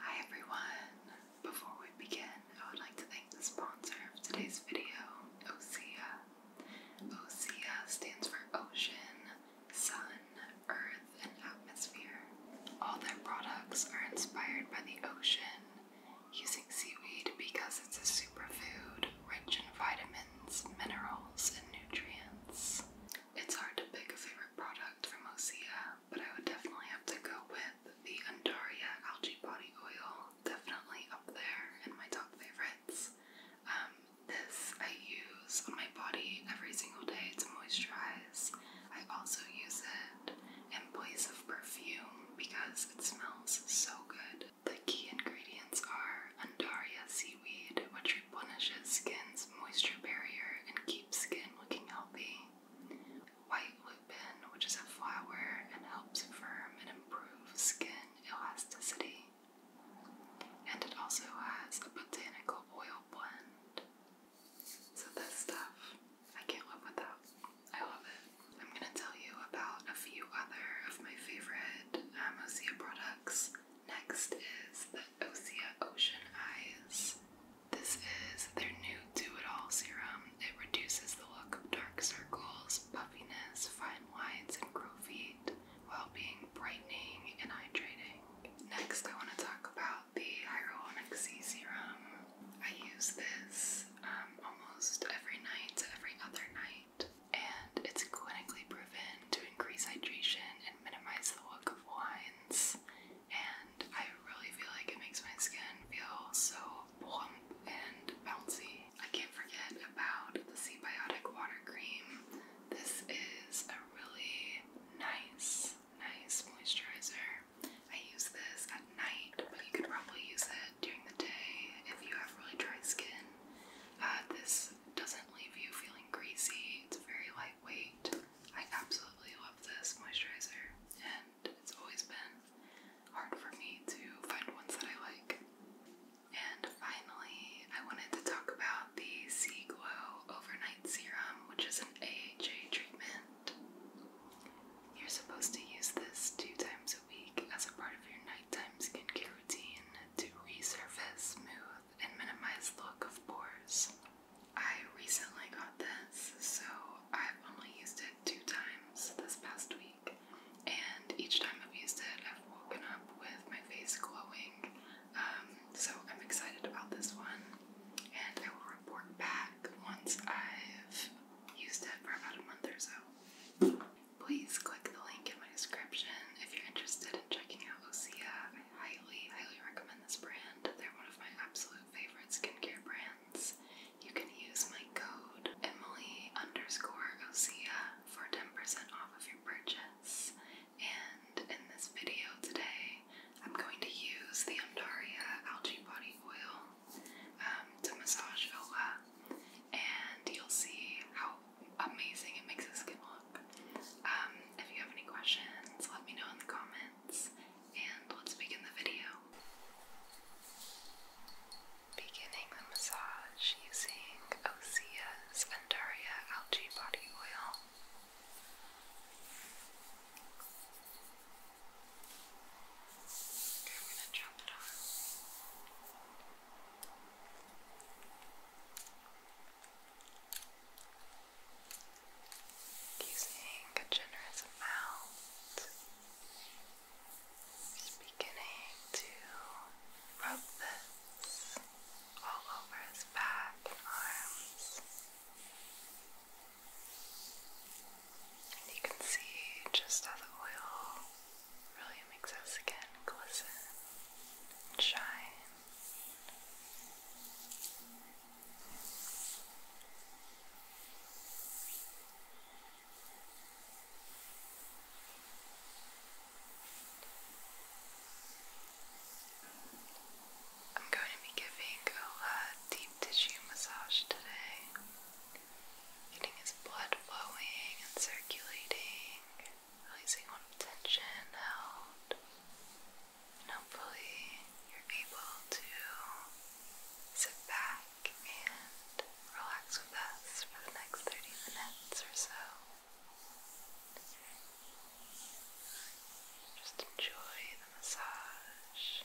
Hi everyone! Before we begin, I would like to thank the sponsor of today's video, OSEA. OSEA stands for Ocean, Sun, Earth, and Atmosphere. All their products are inspired by the ocean, using seaweed because it's a superfood rich in vitamins, minerals, and nutrients. It's hard to pick a favorite product from OSEA, but I would definitely have to go with the Andaria Algae Body Oil, definitely up there in my top favorites. Um, this I use on my body every single day to moisturize. I also use it in place of perfume because it smells so good. The key ingredients are Andaria seaweed, which replenishes skin's moisture barrier and keeps skin looking healthy. White lupin, which is a flower and helps firm and improve skin elasticity. And it also has a botanical oil blend. So, this stuff, I can't live without. I love it. I'm going to tell you about a few other of my favorite Amosia um, products. Next is the Osea Ocean Eyes this is their new Do It All serum. It reduces the look of dark circles, puffiness, fine lines, and crow feet while being brightening and hydrating. Next, I want to talk about the Hyaluronic C serum. I use this um, almost every night every other night, and it's clinically proven to increase hydration and minimize the look of lines and I really feel like it makes my skin feel so plump and bouncy. I can't forget about the Sea Water Cream. This is a really nice, nice moisturizer. I use this at night, but you could probably use it during the day if you have really dry skin. Uh, this doesn't leave you feeling greasy, it's very lightweight. I absolutely love this moisturizer, and it's always been hard for me to find ones that I like. And finally, I wanted to talk about the Sea Glow Overnight Serum, which is an AHA treatment. You're supposed to use this two times a week as a part of your nighttime skincare routine to resurface, smooth, and minimize the look of pores. I recently got this, so I've only used it two times this past week, and each time I've used it, I've woken up with my face glowing. Um, so I'm excited about this one, and I will report back once I've used it for about a month or so. Please click the link in my description if you're interested in checking out Osea. I highly, highly recommend this brand. They're one of my absolute favorite skincare brands you can use my code Emily underscore Osea for 10% off of your purchase. And in this video today, I'm going to use the Amdaria Algae Body Oil um, to massage Ola, and you'll see how amazing it makes the skin look. Um, if you have any questions, let me know in the comments and let's begin the video. Beginning the massage using Osea's Andaria Algae Body Oil. I'm gonna drop it on using a generous amount, beginning to rub this all over his back and arms. And you can see just how the oil really makes our skin glisten and shine. I'm going to be giving a uh, deep tissue massage today, getting his blood flowing and circulating, releasing all tension out. And hopefully, you're able to sit back and relax with us for the next 30 minutes or so. Just enjoy the massage.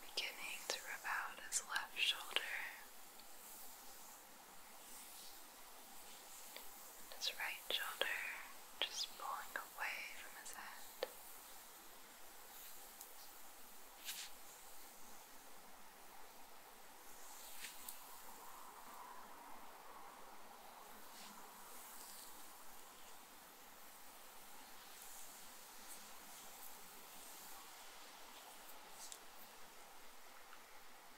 Beginning to rub out his left shoulder. His right shoulder just pulling away from his head.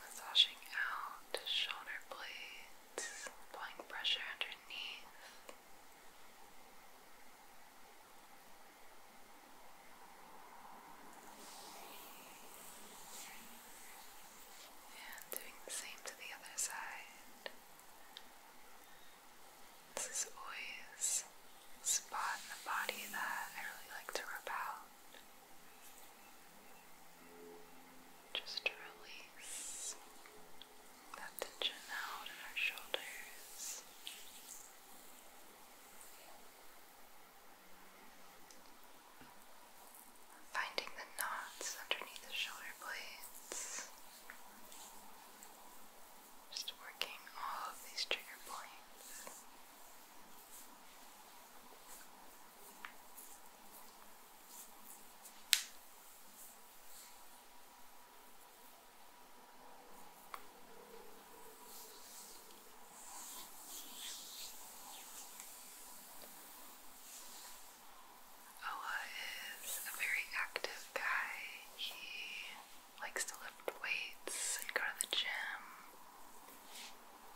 Massaging out shoulder blades, applying pressure underneath. And doing the same to the other side. This is always spot in the body that I really like to rub out. Just to release that tension out in our shoulders. Finding the knots underneath the shoulder blades. Just working all of these trigger points. Ola is a very active guy. He likes to lift weights and go to the gym.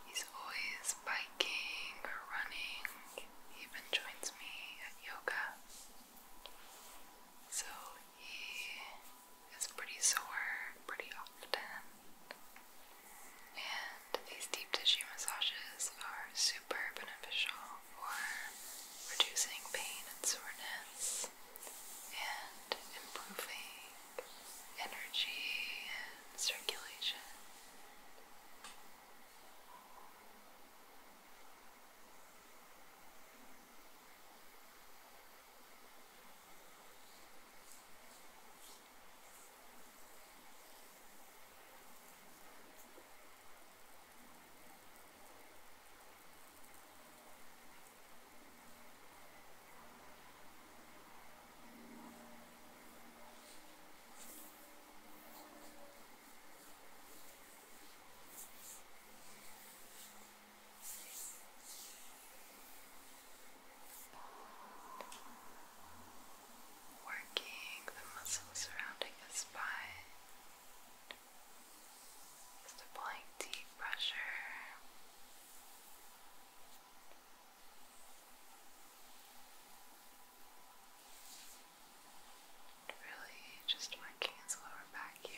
He's always biking or running. He even joins me at yoga. So he is pretty sore pretty often. And these deep tissue massages are super beneficial for reducing pain and soreness and improving energy and circulation. Working the muscles surrounding the spine. Just applying deep pressure. Really just working his lower back here.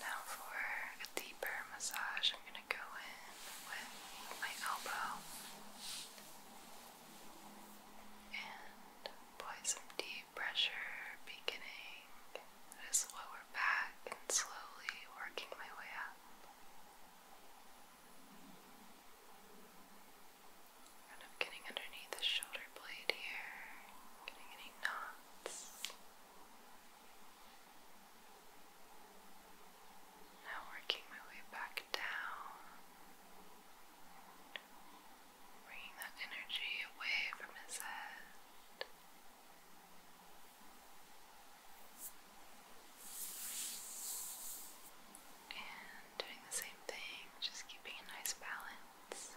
Now, for a deeper massage, I'm going to go in with my elbow and apply some deep pressure beginning at his lower back and slowly working my way up. Kind of getting underneath the shoulder blade here, getting any knots. Now working my way back down, bringing that energy away from his head. And doing the same thing, just keeping a nice balance.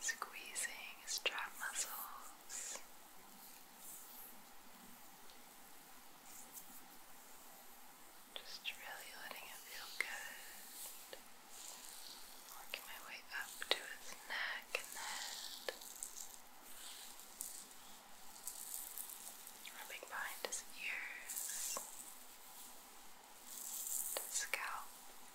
Squeezing strap muscles. Just really letting it feel good. Working my way up to its neck and head rubbing behind his ears, his scalp. Just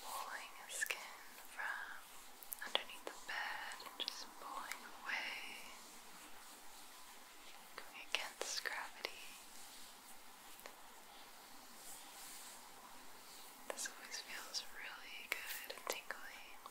pulling the skin from underneath the bed and just pulling away, going against gravity. This always feels really good and tingly. Now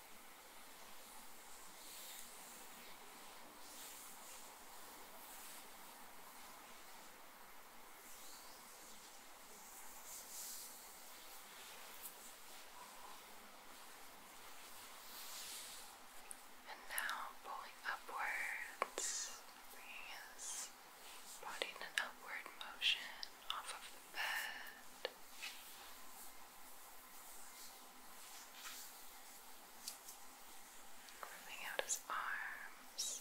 And now pulling upwards, bringing his body in an upward motion off of bird. Grooming out his arms.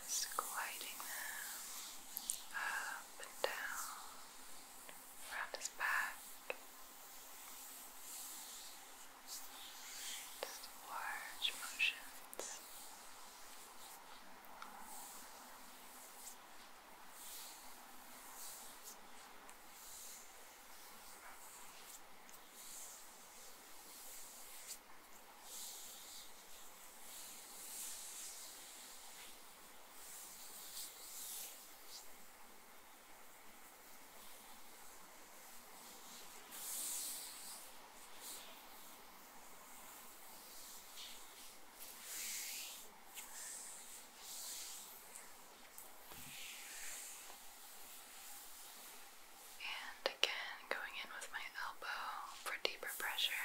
Just gliding them up and down around his back. large motions. And again, going in with my elbow for deeper pressure.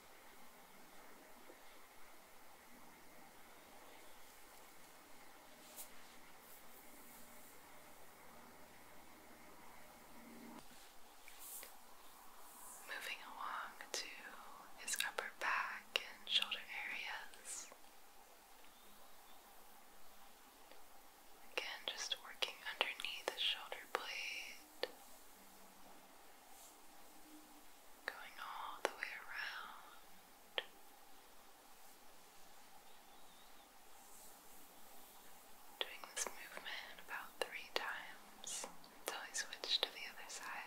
Moving along to his upper back and shoulder areas. Again, just working underneath the shoulder blades. Going all the way around. Doing this movement about three times until I switch to the other side.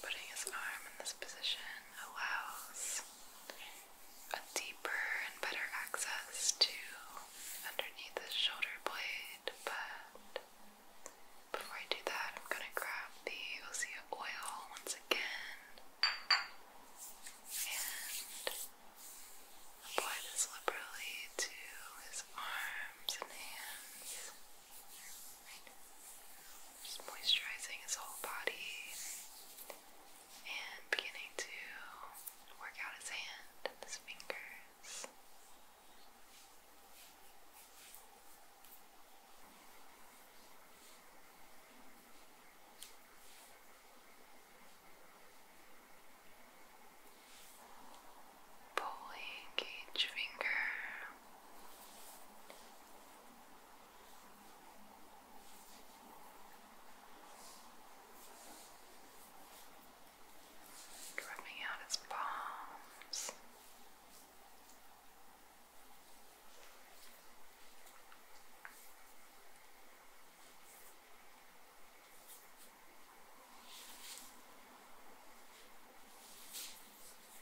Putting his arm in this position allows a deeper and better access to underneath the shoulder blade, but before I do that, I'm going to grab the Osea oil once again and apply this liberally to his arms and hands. Just moisturizing his whole body and beginning to work out his hand and his fingers. Pulling each finger Rubbing out his palms. Just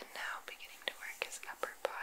And now beginning to work his upper body.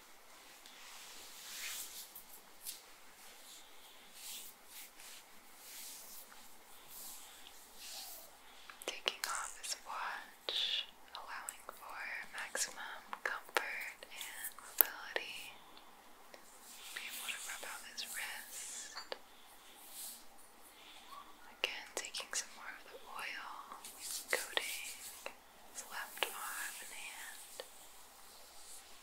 Taking off his watch, allowing for maximum comfort and mobility. Be able to rub out his wrist. Again, taking some more of the oil, coating his left arm and hand.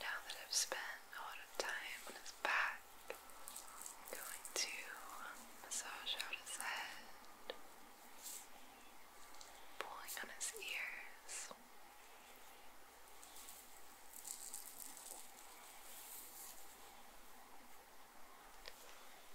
Now that I've spent a lot of time on his back, I'm going to massage out his head, pulling on his ears.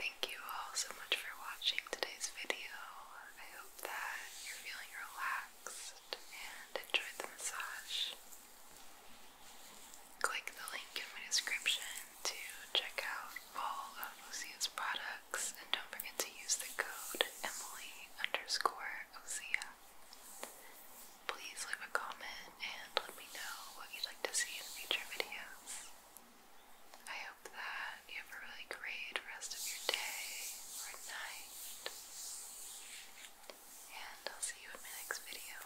Thank you all so much for watching today's video. I hope that you're feeling relaxed and enjoyed the massage. Click the link in my description to check out all of Lucia's products and don't forget to use the code Emily underscore Lucia. Please leave a comment and let me know what you'd like to see in future videos. I hope that you have a really great rest of your day or night. And I'll see you in my next video.